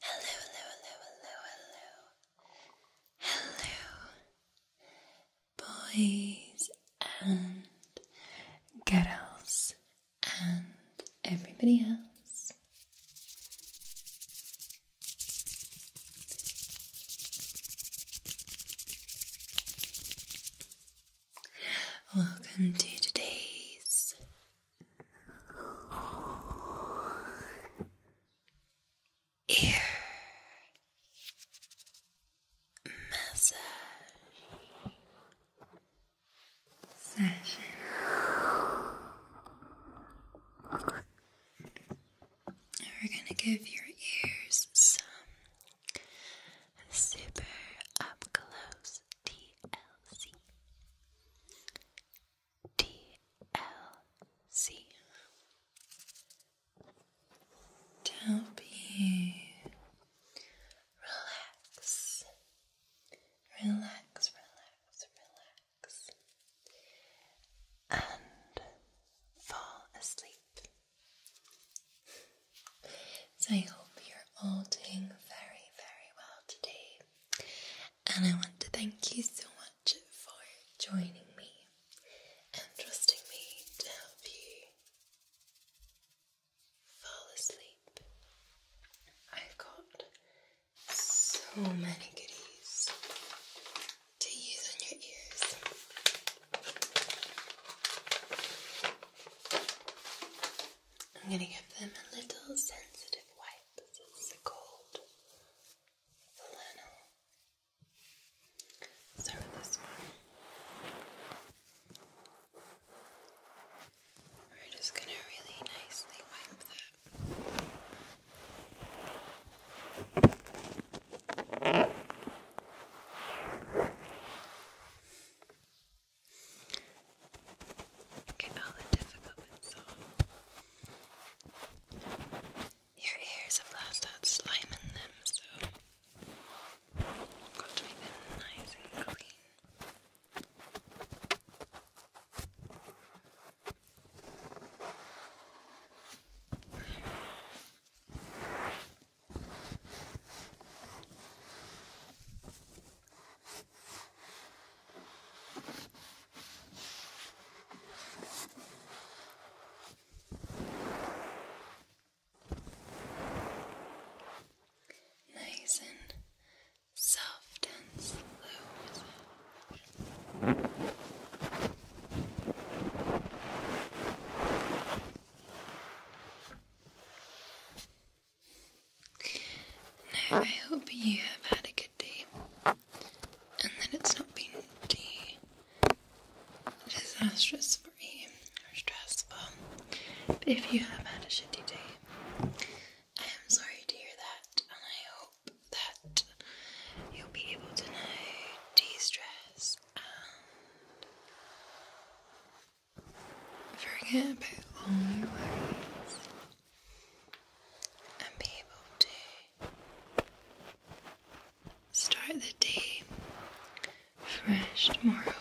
Hello, hello, hello, hello, hello. boys and girls and everybody else. Welcome to today's ear massage session. We're going to give your ears some super up close TLC. DLC to help relax, relax, relax, relax, and fall asleep. So I hope you're all doing very, very well today. And I want to thank you so much for joining me and trusting me to help you fall asleep. I've got so many goodies to use on your ears. I'm going to give them a little sensitive wipe. This is a flannel. So this one. We're just going to really nicely wipe that. Get all the difficult bits off. Your ears have lost out slime in them, so got to make them nice and clean. Nice and soft and slow. Good. Now, I hope you have had a good day and that it's not been disastrous for you or stressful. if you have had a shitty day, I am sorry to hear that, and I hope that you'll be able to now de stress and forget about all your worries and be able to start the day fresh tomorrow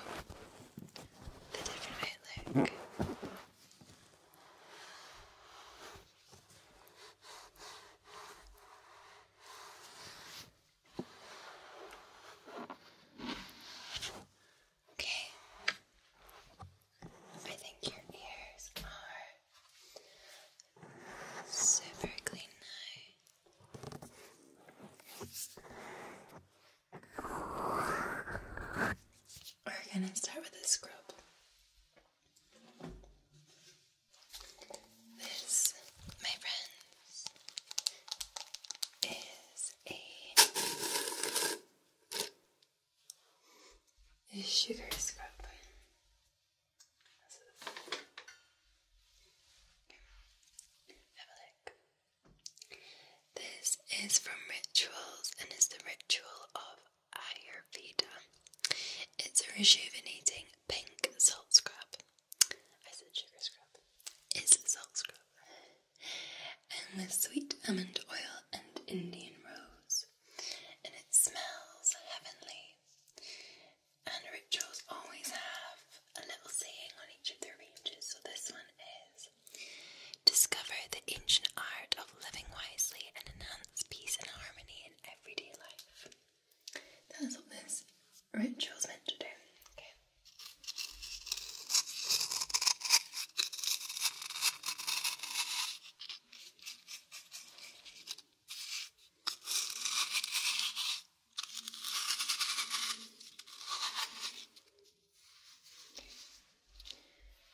Okay. I think your ears are super clean now. We're gonna start with a scrub. This, my friends, is a sugar scrub. This is from Rituals and is the ritual of Ayurveda. It's a rejuvenating pink salt scrub. I said sugar scrub. It's salt scrub and with sweet almond oil and Indian rose, and it smells heavenly. And rituals always have a little saying on each of their ranges, so this one is Discover the ancient art of living wisely and enhance peace and harmony in everyday life. That's what this ritual's meant to do. We're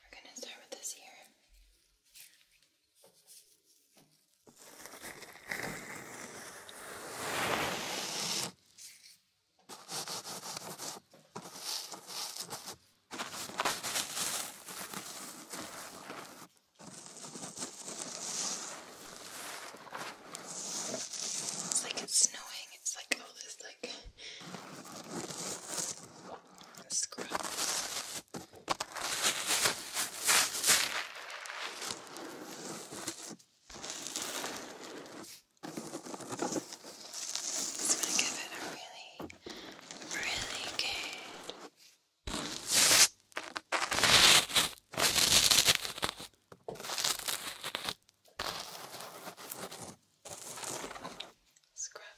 going to start with this here. Okay. It's like it's snowing. It's like all this like scrub. It's going to give it a really, really good. Scrub.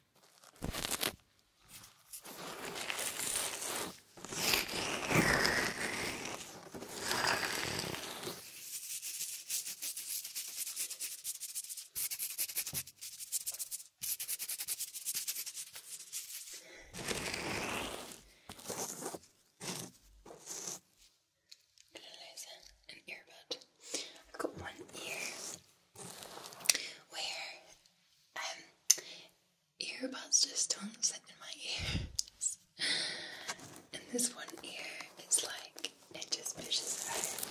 Listen, an earbud. I've got one ear where um, earbuds just don't slip in my ears. and this one ear, it's like it just pushes out.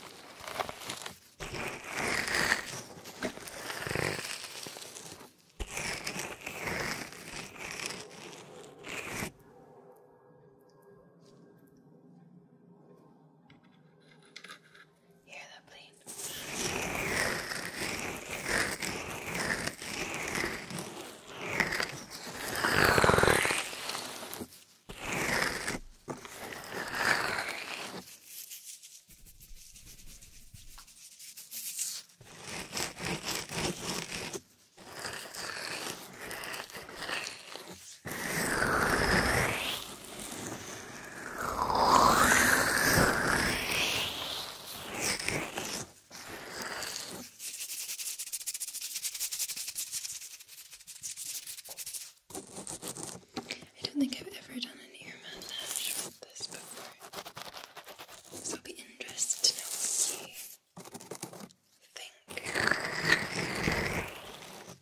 Hear that plane? I don't think I've ever done an ear massage with this before. So I'll be interested to know what you think.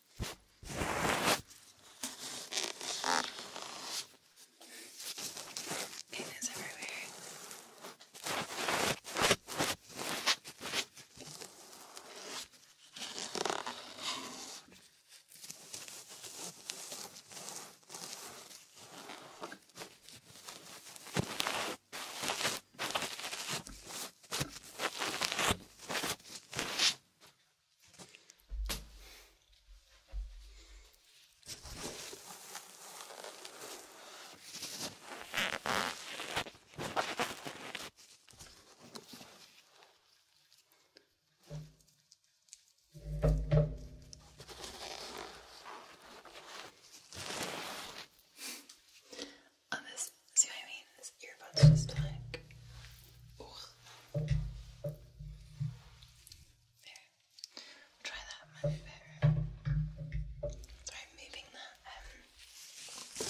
It is everywhere. On this See what I mean? This earbud's just like. Ooh. There. Try that, Try moving that. Um,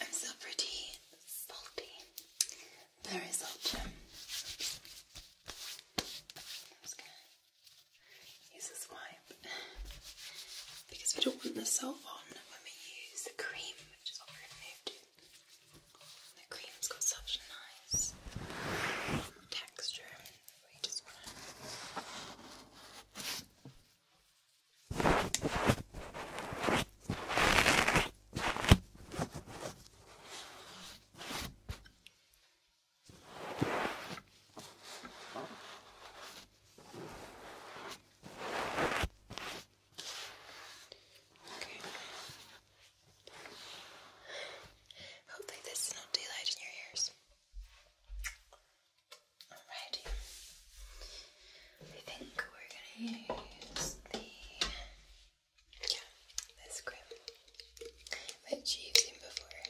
I'm still pretty salty. Very salty. use this wipe because we don't want the salt on when we use the cream, which is what we The cream's got such a nice texture. We just want Okay. Hopefully this is not daylight in your ears. Okay. Alrighty. I think we're gonna use the this cream which you've seen before.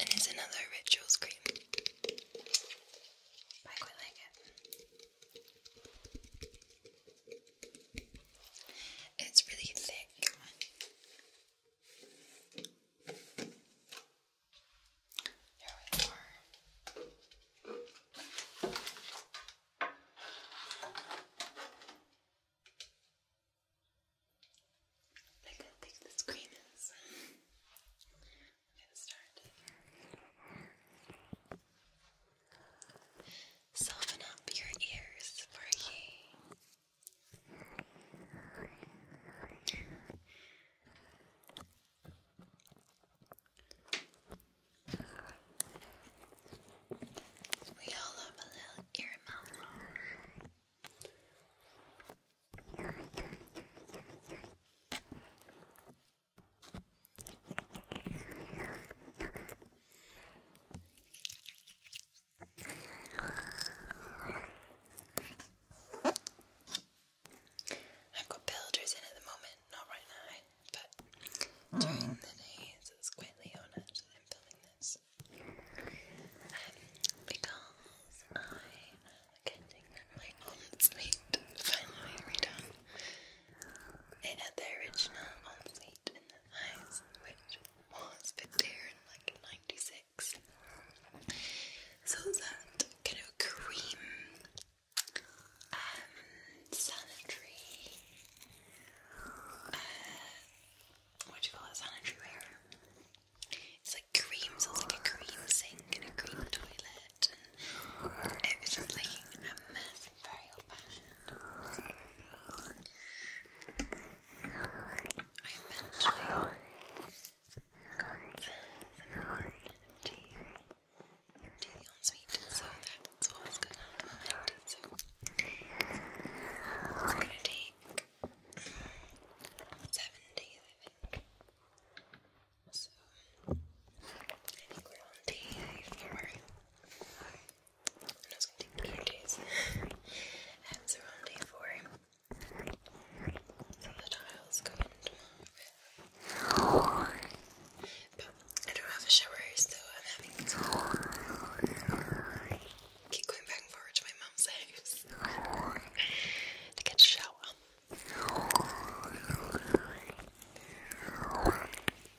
And it's another rituals cream. I quite like it. It's really thick. Here we are. Look how big the screen is. I'm gonna start. Soften up your ears for ye. We all have a little ear mouth. I've got builders in at the moment, not right now, but during mm. the days so it's quietly on I'm building this um, because I am getting my ensuite finally redone. It had the original ensuite in the house, which was put like '96. So that cream, um, sanitary, uh, what do you call it, It's like cream, it's like a cream sink and a cream toilet, and it was just very old fashioned tea ensuite, it's gonna take seven days, I think. So I think we're on day four, and I was gonna take two days. and we're on day four. So the tiles go in tomorrow. But I don't have a shower, so I'm having to keep going back and forward to my mom's house to get a shower.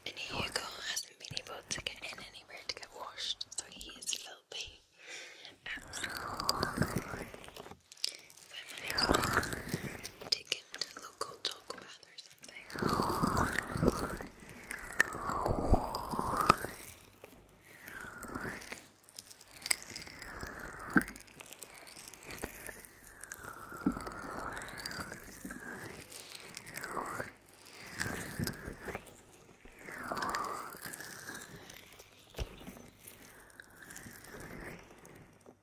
And Hugo hasn't been able to get in anywhere to get washed, so he is filthy. Absolutely if I might have to take him to local dog bath or something.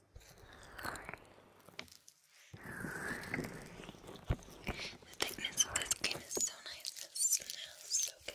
The thickness of this cream is so nice. It smells so good.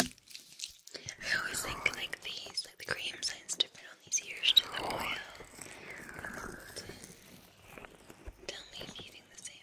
I always think like these, like the cream signs different on these ears to the oil. Tell me if you think the same.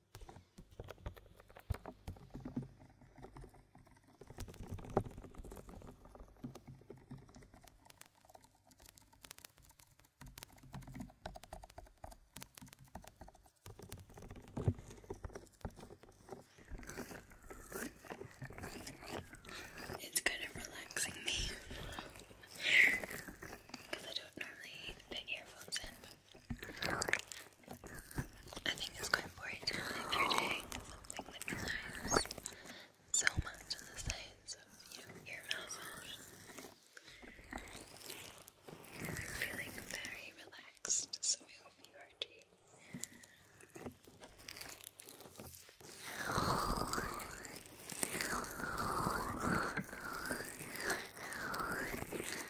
It's kind of relaxing me I don't normally put earphones in, I think it's going important if you're doing something that relies so much on the science of, you know, ear massage. feeling very relaxed, so I hope you are too.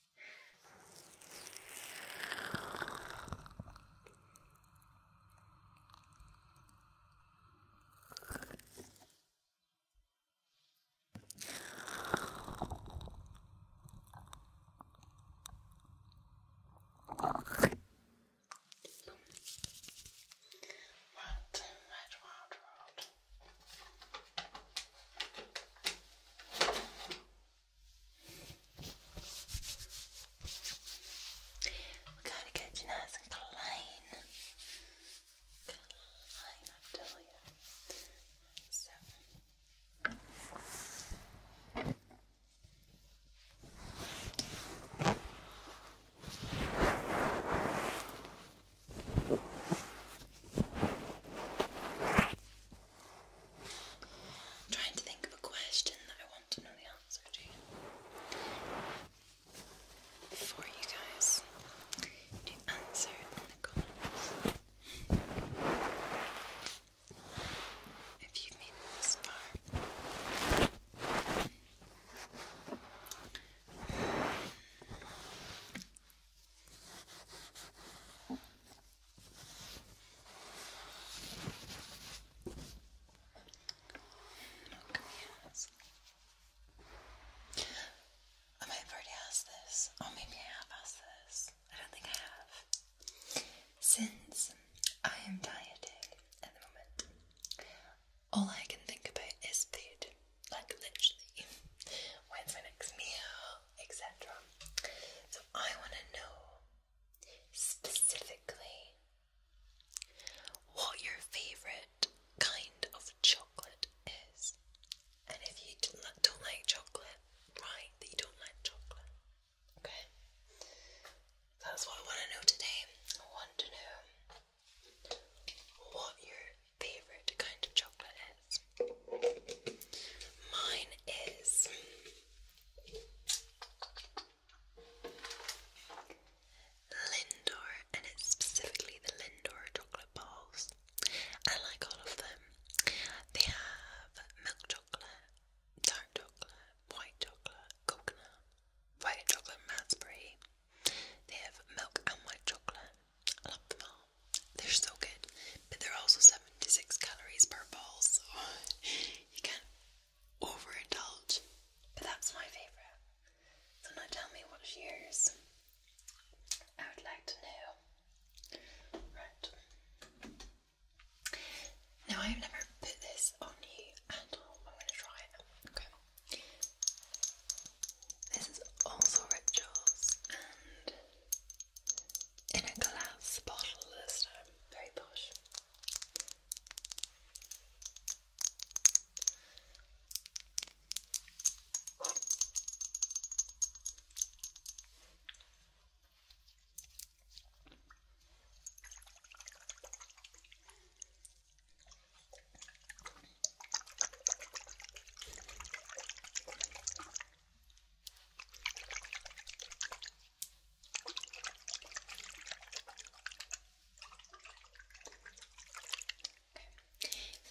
What, what, what, what? We gotta get you nice and clean. Clean, I tell you. So. Okay i trying to think of a question that I want to know the answer to for you guys to answer in the comments. If you've made it I might already asked this, or oh, maybe I have asked this. I don't think I have. Since I am dieting at the moment, all I can think about is food. Like, literally. When's my next meal? etc. So I want to know specifically what your favorite kind of chocolate is. And if you don't like chocolate, write that you don't like chocolate. Okay? That's what I want to know today. I want to know what your favourite kind of chocolate is. Mine is Lindor, and it's specifically the Lindor chocolate bars. I like all of them. They have milk chocolate, dark chocolate, white chocolate, coconut, white chocolate, raspberry. They have milk and white chocolate, I love them all. They're so good, but they're also 76 calories per ball, so you can't over overindulge. But that's my favourite. So now tell me what's yours. I would like to know. Right. Now I've never put this on you and I'm going to try it. Okay. This is also rituals and in a glass bottle this time. Very posh.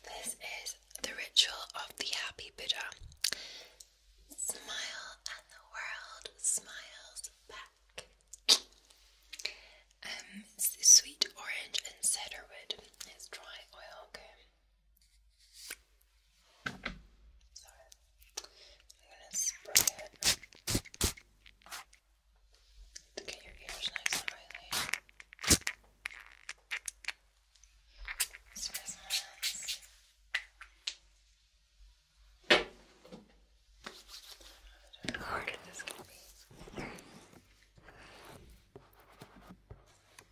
This is the ritual of the happy Buddha. Smile and the world smiles back. Um, it's the sweet orange and cedarwood. It's dry oil. Okay. Sorry. I'm gonna spray it to get your ears nice and oily. Spray some hands. I don't know how hard this can be.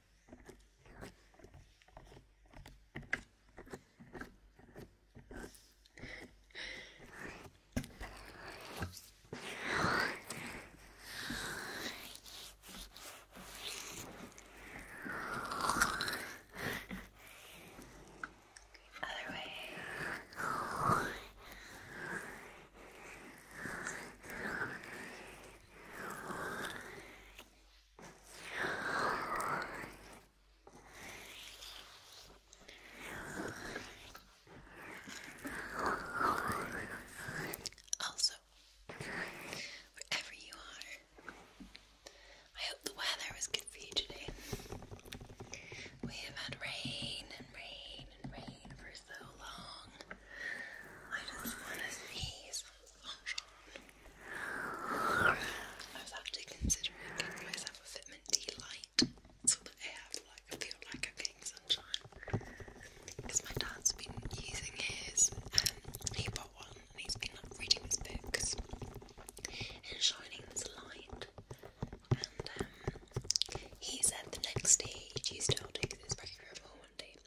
Other way. Also, wherever you are, I hope the weather was good for you today. We have had rain and rain and rain for so long. I just want to sneeze. I was actually considering giving myself a vitamin D light so that I feel like I'm getting sunshine. Because my dad's been using his, um, he bought one and he's been like reading his books and shining this light. And um, he said the next day he'd used it all day because one day. He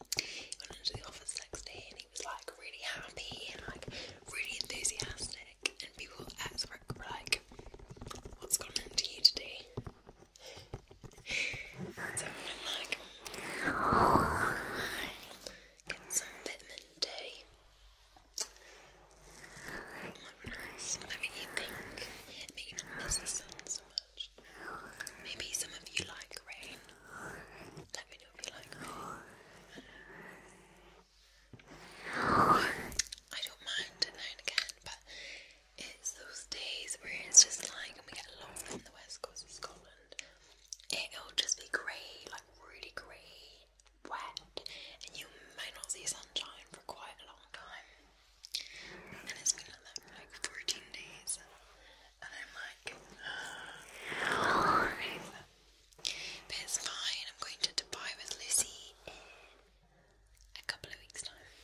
went into the office next day and he was like really happy and like really enthusiastic. And people at work were like, "What's going on into you today? so I'm like, Get some vitamin D. Oh, nice. I mean, you you so much. Maybe some of you like rain. Let me know if you like rain. I don't mind it now and again, but it's those days where it's just like, and we get a in the west coast of Scotland. It'll just be grey, like really grey, wet, and you might not see sunshine for quite a long time. And it's been like that for like 14 days. I'm but it's fine. I'm going to Dubai with Lucy in a couple of weeks' time.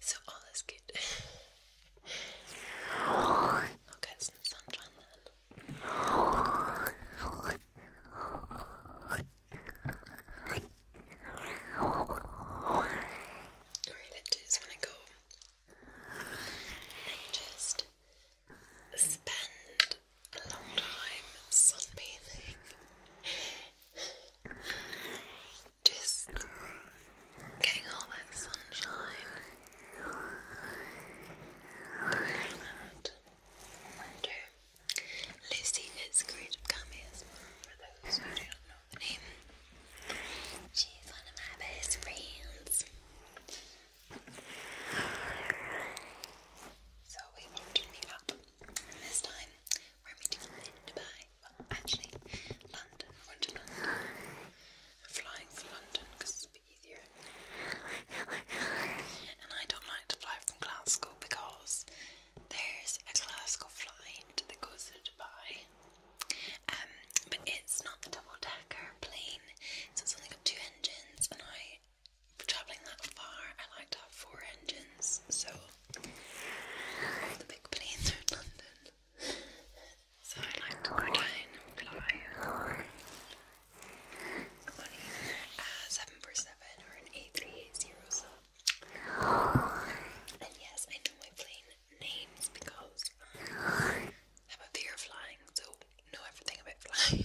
So all is good. I'll get Alright, I just want to go and just spend a long time sunbathing. Just getting all that sunshine. Look at that. Wonder. Lizzie is creative commies for those who do not know the name. She's one of my best friends. So we want to meet up. this time we're meeting in Dubai. Well, actually, London. I went to London. flying for London because bit And I don't like to fly from Glasgow because there's a Glasgow flight that goes to Dubai. Um, but it's not a double decker plane, so it's only got two engines. And I, for travelling that far, I like to have four engines. So the big planes are in London. So I like to go down and fly 747 or an A380. And yes, I know my plane names because I'm a fear of flying, so know everything about flying.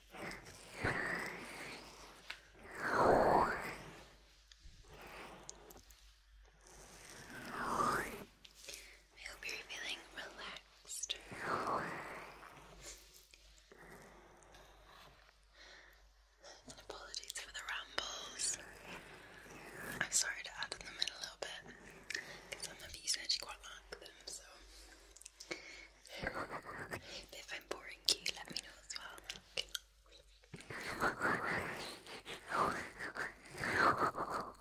I hope you're feeling relaxed. apologies for the rambles. I'm sorry to add in the a little bit because I'm a beast and I them, so if I'm boring you, let me know as well. Okay. Like you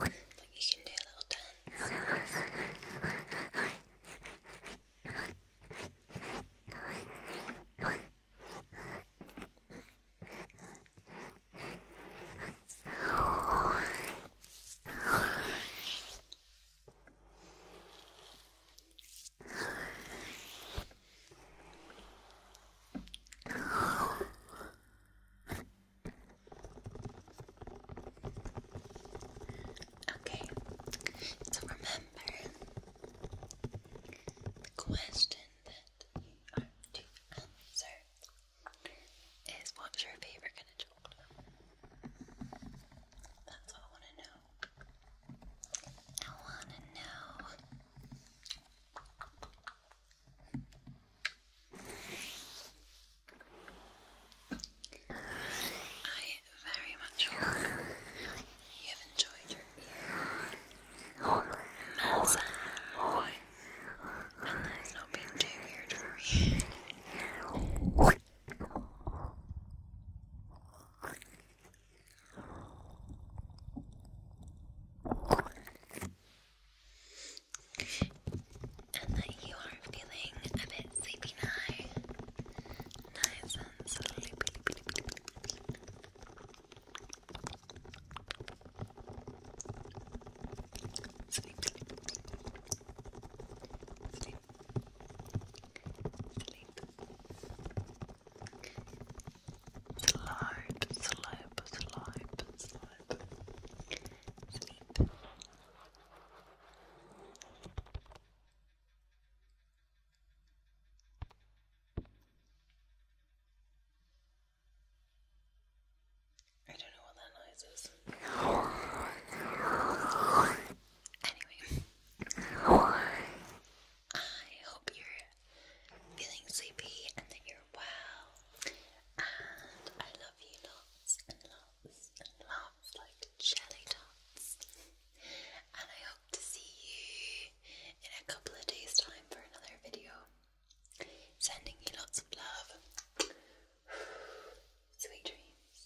can do a little dance. Okay, so remember the question that you are to answer is what's your favorite kind of chocolate? That's what I want to know. I want to know. I very much hope you have enjoyed your ear massage. And that's not being too weird for you. And that you are feeling a bit sleepy now. Nice and sleepy. Sleep. Sleep. Sleep. Sleep. Slide, slip, slide, Sleep. I don't know what that noise is. Anyway, I hope you're feeling sleepy and that you're well. And I love you lots and lots and lots like jelly dots. And I hope to see you in a couple of days' time for another video. Sending you lots of love. Sweet dreams.